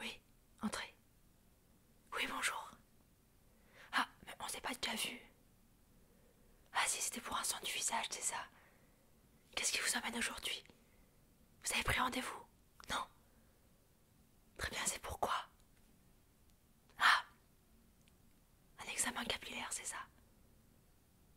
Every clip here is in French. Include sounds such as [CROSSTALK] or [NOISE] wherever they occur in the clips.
oui, entrez. Oui, bonjour. Ah, mais on ne s'est pas déjà vu. Ah si, c'était pour un son du visage, c'est ça. Qu'est-ce qui vous emmène aujourd'hui Vous avez pris rendez-vous Non Très bien, c'est pourquoi Ah Un examen capillaire, c'est ça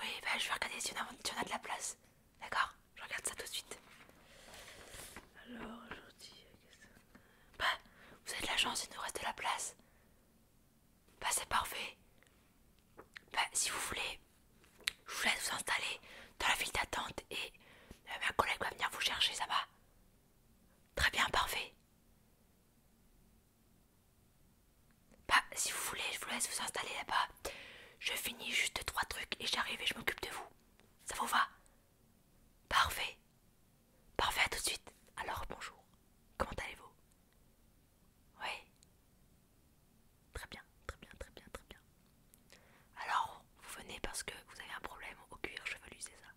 oui, bah je vais regarder si on a, de la place. D'accord Je regarde ça tout de suite. Alors, aujourd'hui, qu'est-ce que Bah, vous avez de la chance, il nous reste de la place. Bah, c'est parfait. Bah, si vous voulez, je vous laisse vous installer dans la file d'attente et euh, ma collègue va venir vous chercher, ça va Très bien, parfait. Bah, si vous voulez, je vous laisse vous installer là-bas. Je finis juste trois trucs et j'arrive et je m'occupe de vous. Ça vous va Parfait. Parfait, à tout de suite. Alors, bonjour. Comment allez-vous Oui. Très bien, très bien, très bien, très bien. Alors, vous venez parce que vous avez un problème au cuir chevelu, c'est ça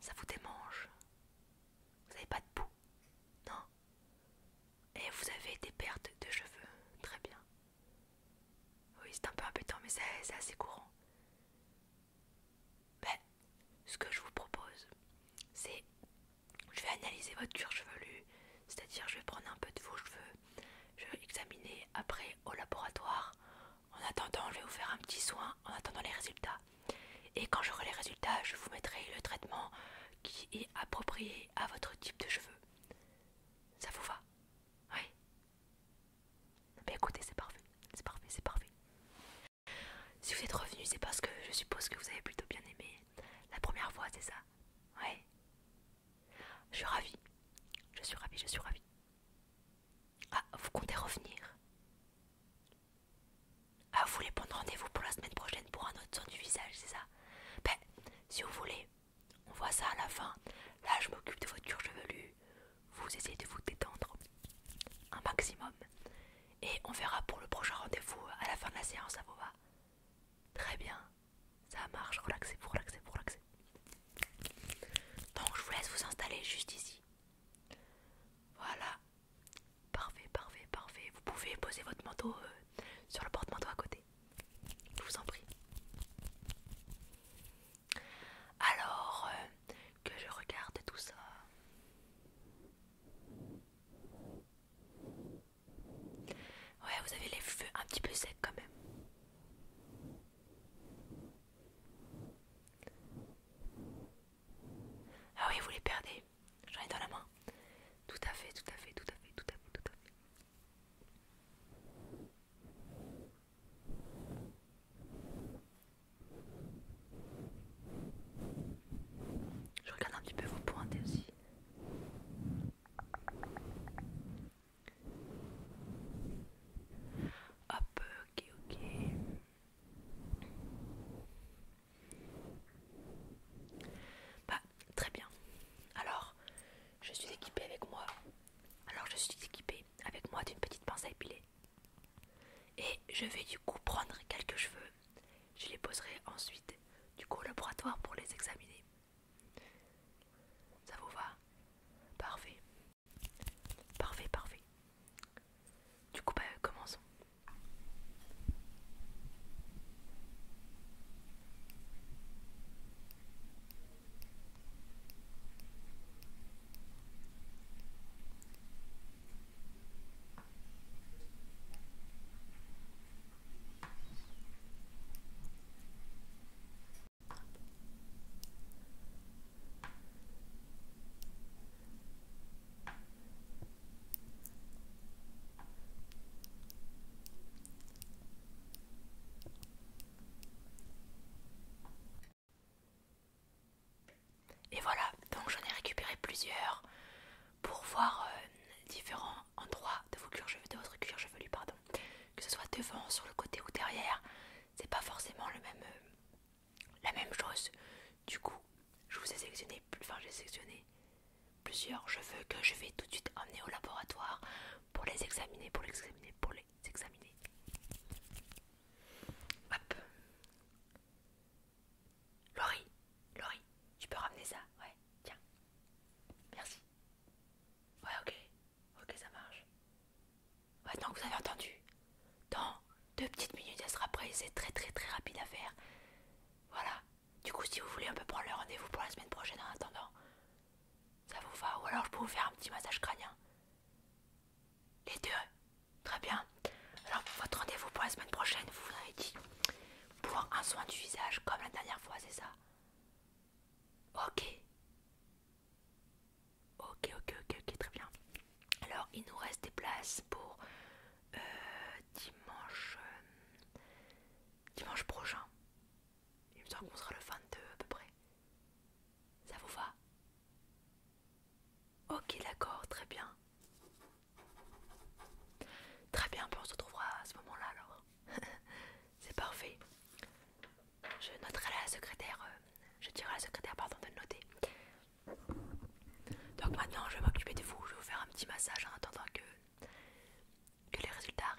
Ça vous démange Vous n'avez pas de boue Non et vous avez des pertes de cheveux. Très bien. Oui, c'est un peu impétant, mais c'est assez courant. Mais, ben, ce que je vous propose, c'est je vais analyser votre cuir chevelu, c'est-à-dire je vais prendre un peu de vos cheveux, je vais examiner après au laboratoire. En attendant, je vais vous faire un petit soin en attendant les résultats. Et quand j'aurai les résultats, je vous mettrai le traitement qui est approprié à votre type de cheveux. Ça vous va Oui Bah écoutez, c'est parfait, c'est parfait, c'est parfait. Si vous êtes revenu, c'est parce que je suppose que vous avez plutôt bien aimé la première fois, c'est ça Oui Je suis ravie. Je suis ravie, je suis ravie. Ah, vous comptez revenir ah, vous voulez prendre rendez-vous pour la semaine prochaine pour un autre son du visage, c'est ça Ben, si vous voulez, on voit ça à la fin. Là, je m'occupe de votre cure chevelue. Vous essayez de vous détendre un maximum. Et on verra pour le prochain rendez-vous à la fin de la séance, ça vous va Très bien, ça marche, relaxez-vous, relaxez-vous, relaxez. Donc je vous laisse vous installer juste ici. Voilà, Parfait, parfait, parfait. Vous pouvez poser votre manteau euh, sur le porte-manteau à côté. Je vous en prie. Alors euh, que je regarde tout ça. Ouais, vous avez les feux un petit peu secs quand même. Ah oui, vous les perdez j'en ai dans la main. Tout à fait, tout à fait, tout à fait, tout à fait, tout à fait. Je regarde un petit peu vos pointes aussi. Hop, ok, ok. Bah, très bien. Alors, je suis équipée avec moi. Alors, je suis équipée avec moi d'une petite pince à épiler. Et je vais du coup prendre quelques cheveux. Je les poserai ensuite du coup au laboratoire pour les examiner. Ça vous va Parfait. Parfait, parfait. Du coup, bah, commençons. Et voilà, donc j'en ai récupéré plusieurs pour voir euh, différents endroits de, vos cuir de votre cuir chevelu, pardon. Que ce soit devant, sur le côté ou derrière, c'est pas forcément le même, euh, la même chose. Du coup, je vous ai sélectionné, enfin j'ai sélectionné plusieurs cheveux que je vais tout de suite emmener au laboratoire pour les examiner, pour les examiner, pour les examiner. Hop. Laurie, Laurie, tu peux ramener ça Ouais, tiens. Merci. Ouais, ok. Ok, ça marche. Ouais, donc vous avez entendu. Dans deux petites minutes, elle sera prête. C'est très très très rapide à faire. Voilà. Du coup, si vous voulez, on peut prendre le rendez-vous pour la semaine prochaine en attendant. Ça vous va Ou alors je peux vous faire un petit massage crânien. Les deux Très bien. Alors, votre rendez-vous pour la semaine prochaine, vous vous avez dit pour un soin du visage comme la dernière fois, c'est ça Ok. Ok, ok, ok, ok, très bien. Alors il nous reste des places pour euh, dimanche euh, dimanche prochain. Il me semble qu'on sera le 22 à peu près. Ça vous va Ok d'accord, très bien. Très bien, on se retrouvera à ce moment-là alors. [LAUGHS] C'est parfait. Je noterai la secrétaire, euh, je dirai à la secrétaire pardon de noter. Donc maintenant je vais m'occuper de vous, je vais vous faire un petit massage en attendant que, que les résultats arrivent.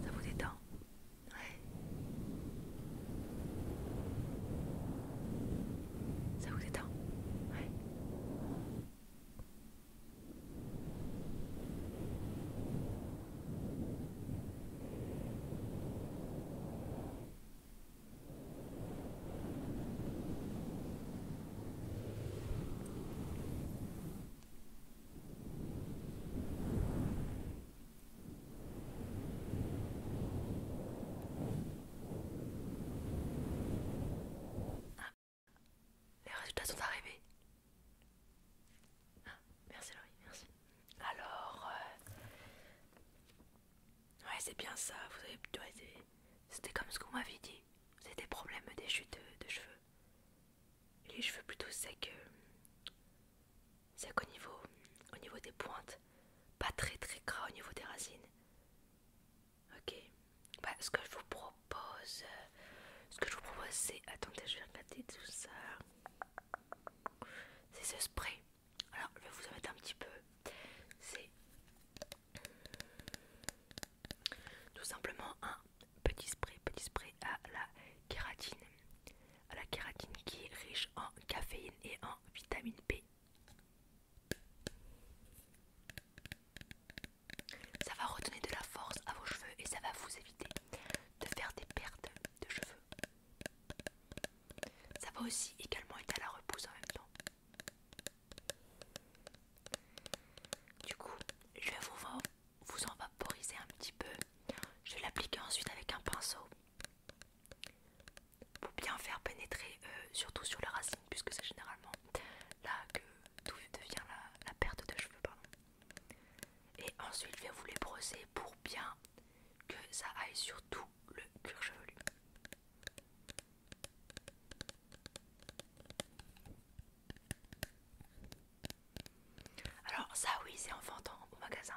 Ça vous détend Ouais. Ça vous détend Ouais. Ah. Les résultats sont arrivés. Ah, merci Laurie, merci. Alors, euh, ouais c'est bien ça. Vous avez, été. c'était comme ce que vous dit. C'est des problèmes des chutes de, cheveux. Les cheveux plutôt secs. Euh, secs au niveau, au niveau des pointes. Pas très très gras au niveau des racines. Ok. Bah, ce que je vous propose. Euh, ce que je vous propose c'est. Attendez, je vais regarder tout ça. C'est ce spray. Alors je vais vous en mettre un petit peu. C'est tout simplement un petit spray, petit spray à la kératine. À la kératine qui est riche en caféine et en vitamine B. Ça va redonner de la force à vos cheveux et ça va vous éviter de faire des pertes de cheveux. Ça va aussi également aider à la repousse en même temps. Du coup, je vais vous, en vaporiser un petit peu. Je vais l'appliquer ensuite avec un pinceau pour bien faire pénétrer, euh, surtout sur la racine, puisque c'est généralement là que tout devient la, perte de cheveux. Et ensuite, je vais vous les brosser pour bien que ça aille sur tout le cuir chevelu. Alors ça oui c'est en vendant au magasin.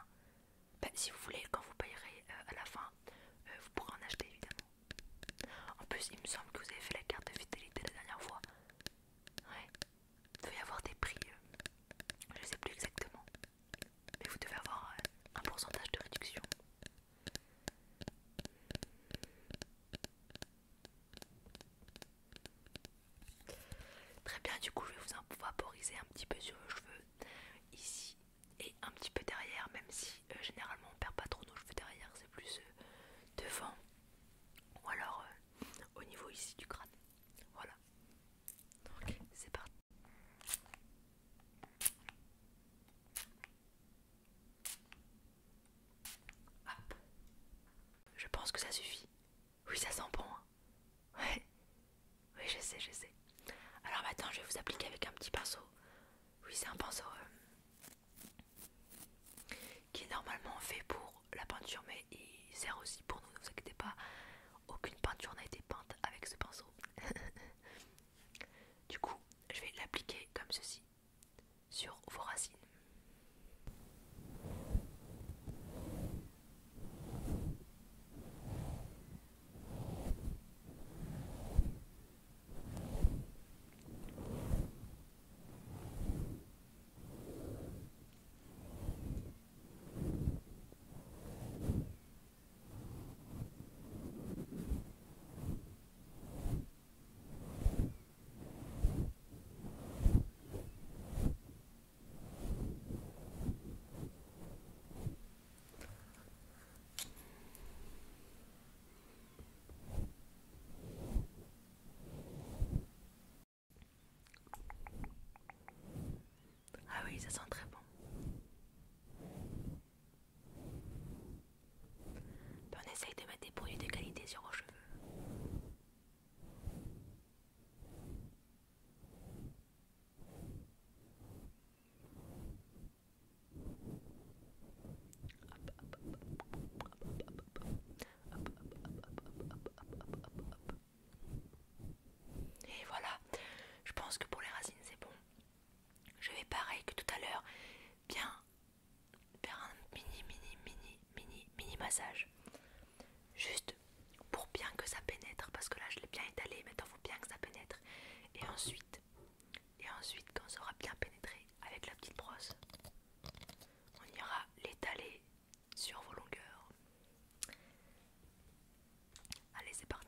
Bah, si vous voulez quand vous payerez euh, à la fin euh, vous pourrez en acheter évidemment. En plus il me semble que vous avez fait la carte de fidélité la dernière fois. Ouais. Il doit avoir des prix. Euh, je sais plus exactement. Mais vous devez avoir un pourcentage de réduction. Très bien, du coup, je vais vous vaporiser un petit peu sur le cheveux ici et un petit peu derrière, même si euh, généralement on perd pas trop nos cheveux derrière, c'est plus euh, devant ou alors euh, au niveau ici du crâne. Voilà, donc c'est parti. Je pense que ça suffit. Oui, ça sent bon. Hein. ouais. Oui, je sais, je sais. Alors maintenant, bah, je vais vous appliquer avec un petit pinceau. Oui, c'est un pinceau euh, qui est normalement fait pour la peinture, mais il sert aussi pour nous, ne vous inquiétez pas. Aucune peinture n'a été peinte avec ce pinceau. [LAUGHS] Du coup, je vais l'appliquer comme ceci sur vos racines. Ah oui, ça sent très bon. Ben, on essaye de mettre des produits de qualité sur vos cheveux. Et voilà, je pense que pour les racines c'est bon. Je vais pareil que tout à l'heure, bien faire un mini, mini, mini, mini, mini massage. Juste pour bien que ça pénètre, parce que là je l'ai bien étalé, maintenant il faut bien que ça pénètre. Et ensuite, et ensuite quand ça aura bien pénétré avec la petite brosse, on ira l'étaler sur vos longueurs. Allez, c'est parti.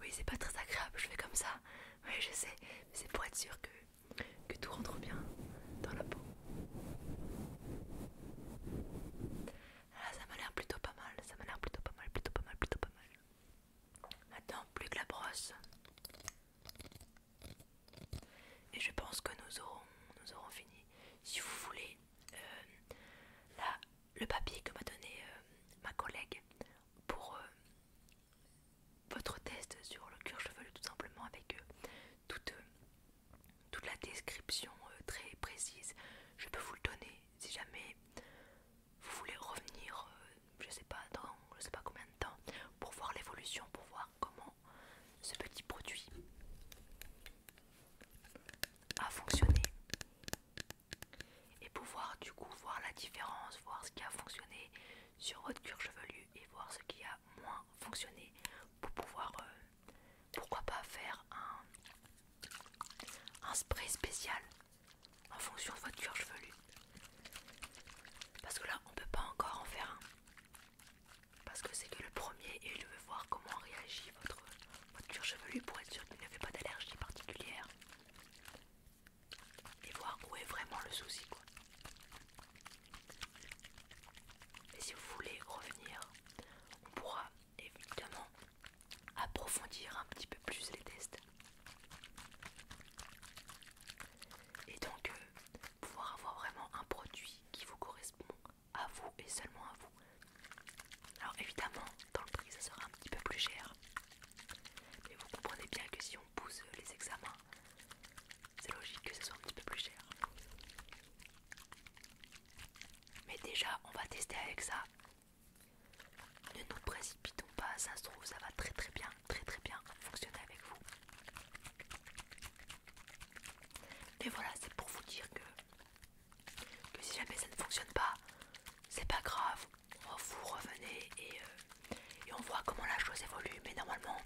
Oui, c'est pas très agréable, je fais comme ça. Oui, je sais, mais c'est pour être sûr que, que tout rentre bien dans la peau. Ah, ça m'a l'air plutôt pas mal, ça m'a l'air plutôt pas mal, plutôt pas mal, plutôt pas mal. Maintenant, plus que la brosse. Et je pense que nous aurons, nous aurons fini. Si vous voulez, euh, là, le papier que m'a donné euh, ma collègue pour euh, votre test sur le cuir chevelu tout simplement avec toute, toute la description très précise. Je peux vous le donner si jamais vous voulez revenir, je sais pas dans je sais pas combien de temps, pour voir l'évolution, pour voir comment ce petit produit a fonctionné et pouvoir du coup voir la différence, voir ce qui a fonctionné sur votre cuir chevelu et voir ce qui a moins fonctionné pour pouvoir euh, pourquoi pas faire un, un spray spécial en fonction de votre cuir chevelu parce que là on peut pas encore en faire un parce que c'est que le premier et je veux voir comment réagit votre, votre cuir chevelu pour être sûr qu'il vous n'avez pas d'allergie particulière et voir où est vraiment le souci quoi. Et si vous voulez revenir, on pourra évidemment approfondir un petit peu plus les tests et donc euh, pouvoir avoir vraiment un produit qui vous correspond à vous et seulement à vous. Alors évidemment, dans le prix, ça sera un petit peu plus cher. Mais vous comprenez bien que si on pousse les examens, c'est logique que ce soit un petit peu plus cher. Mais déjà, on va tester avec ça. Ne nous précipitons pas, ça se trouve, ça va très très bien, très très bien fonctionner avec vous. Mais voilà, c'est pour vous dire que, si jamais ça ne fonctionne pas, c'est pas grave. Vous revenez et, euh, et on voit comment la chose évolue. Mais normalement,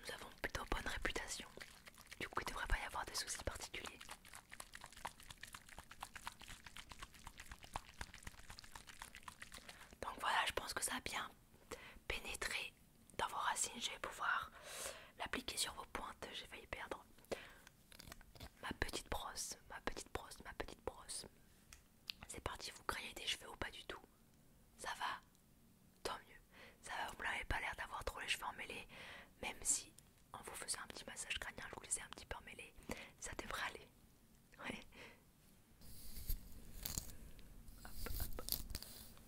nous avons plutôt bonne réputation. Du coup, il ne devrait pas y avoir de soucis particuliers. Donc voilà, je pense que ça a bien pénétré dans vos racines, je vais pouvoir l'appliquer sur vos pointes, j'ai failli perdre ma petite brosse, ma petite brosse, ma petite brosse. C'est parti, vous créez des cheveux ou pas du tout Ça va Tant mieux. Ça va, vous n'avez pas l'air d'avoir trop les cheveux emmêlés, même si en vous faisant un petit massage crânien, je vous les ai un petit peu emmêlés, ça devrait aller. Hop, hop. Ça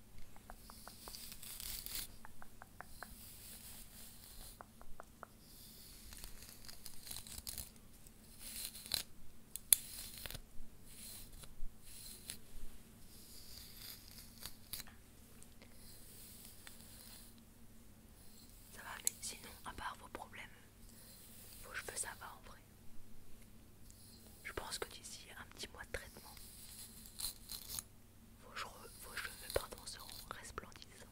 va, mais sinon, à part vos problèmes, vos cheveux, ça va en vrai. Je pense que d'ici un petit mois de traitement, vos cheveux, seront resplendissants.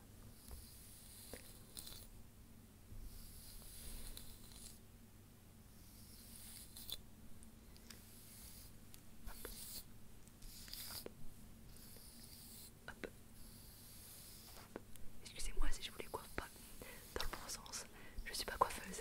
Excusez-moi si je vous les coiffe pas dans le bon sens, je suis pas coiffeuse.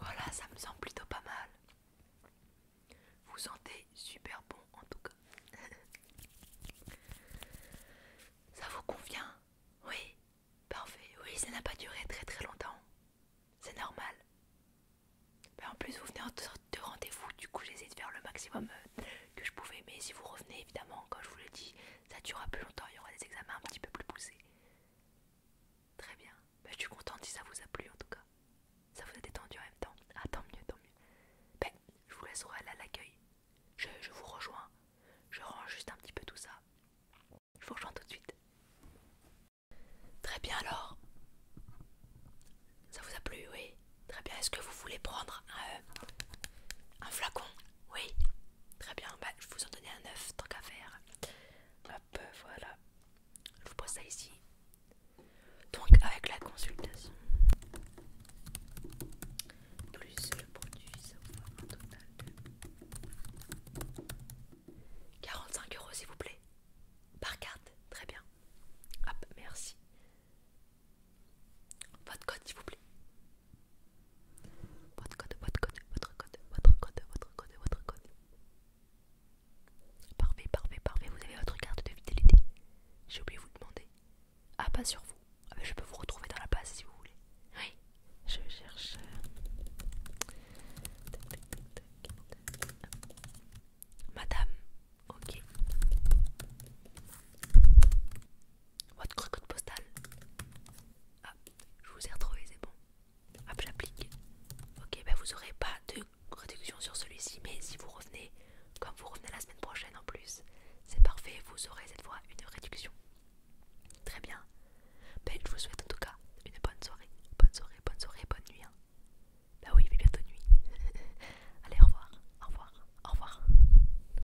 Voilà, ça me semble plutôt pas mal. Vous sentez super bon en tout cas. [LAUGHS] ça vous convient Oui, parfait. Oui, ça n'a pas duré très très longtemps. C'est normal. Mais ben, en plus, vous venez en sorte de rendez-vous, du coup, j'essaie de faire le maximum euh, que je pouvais. Mais si vous revenez, évidemment, comme je vous l'ai dit, ça durera plus longtemps, il y aura des examens un petit peu plus poussés. Très bien, bah, je suis contente si ça vous a plu en tout cas. Ça vous a détendu en même temps. Ah tant mieux, tant mieux. Ben, je vous laisserai aller à l'accueil. Je, vous rejoins. Je range juste un petit peu tout ça. Je vous rejoins tout de suite. Très bien alors. Ça vous a plu, oui. Très bien. Est-ce que vous voulez prendre un euh, flacon oui, très bien, bah, je vous en donnais un neuf, tant qu'à faire. Hop, voilà. Je vous pose ça ici. Donc avec la consultation, plus le produit, ça vous un total de 45 euros s'il vous plaît. Par carte, très bien. Hop, merci. Votre code, s'il vous plaît. Votre code, votre code, votre code, votre code, votre code, votre code. Parfait, parfait, parfait. Vous avez votre carte de fidélité. J'ai oublié de vous demander. Ah, pas sur vous. Ah, je peux vous retrouver dans la base si vous voulez. Oui, je cherche. Euh, Madame, ok. Votre code postal. Ah, je vous ai retrouvé, c'est bon. Hop, j'applique. Ok, ben, vous aurez pas de réduction sur celui-ci, mais si vous revenez, comme vous revenez la semaine prochaine en plus, c'est parfait, vous aurez cette fois une réduction. Très bien. Ben, je vous souhaite en tout cas une bonne soirée. Bonne soirée, bonne soirée, bonne nuit. Hein. Ben oui, mais bientôt nuit. [LAUGHS] Allez, au revoir, au revoir, au revoir.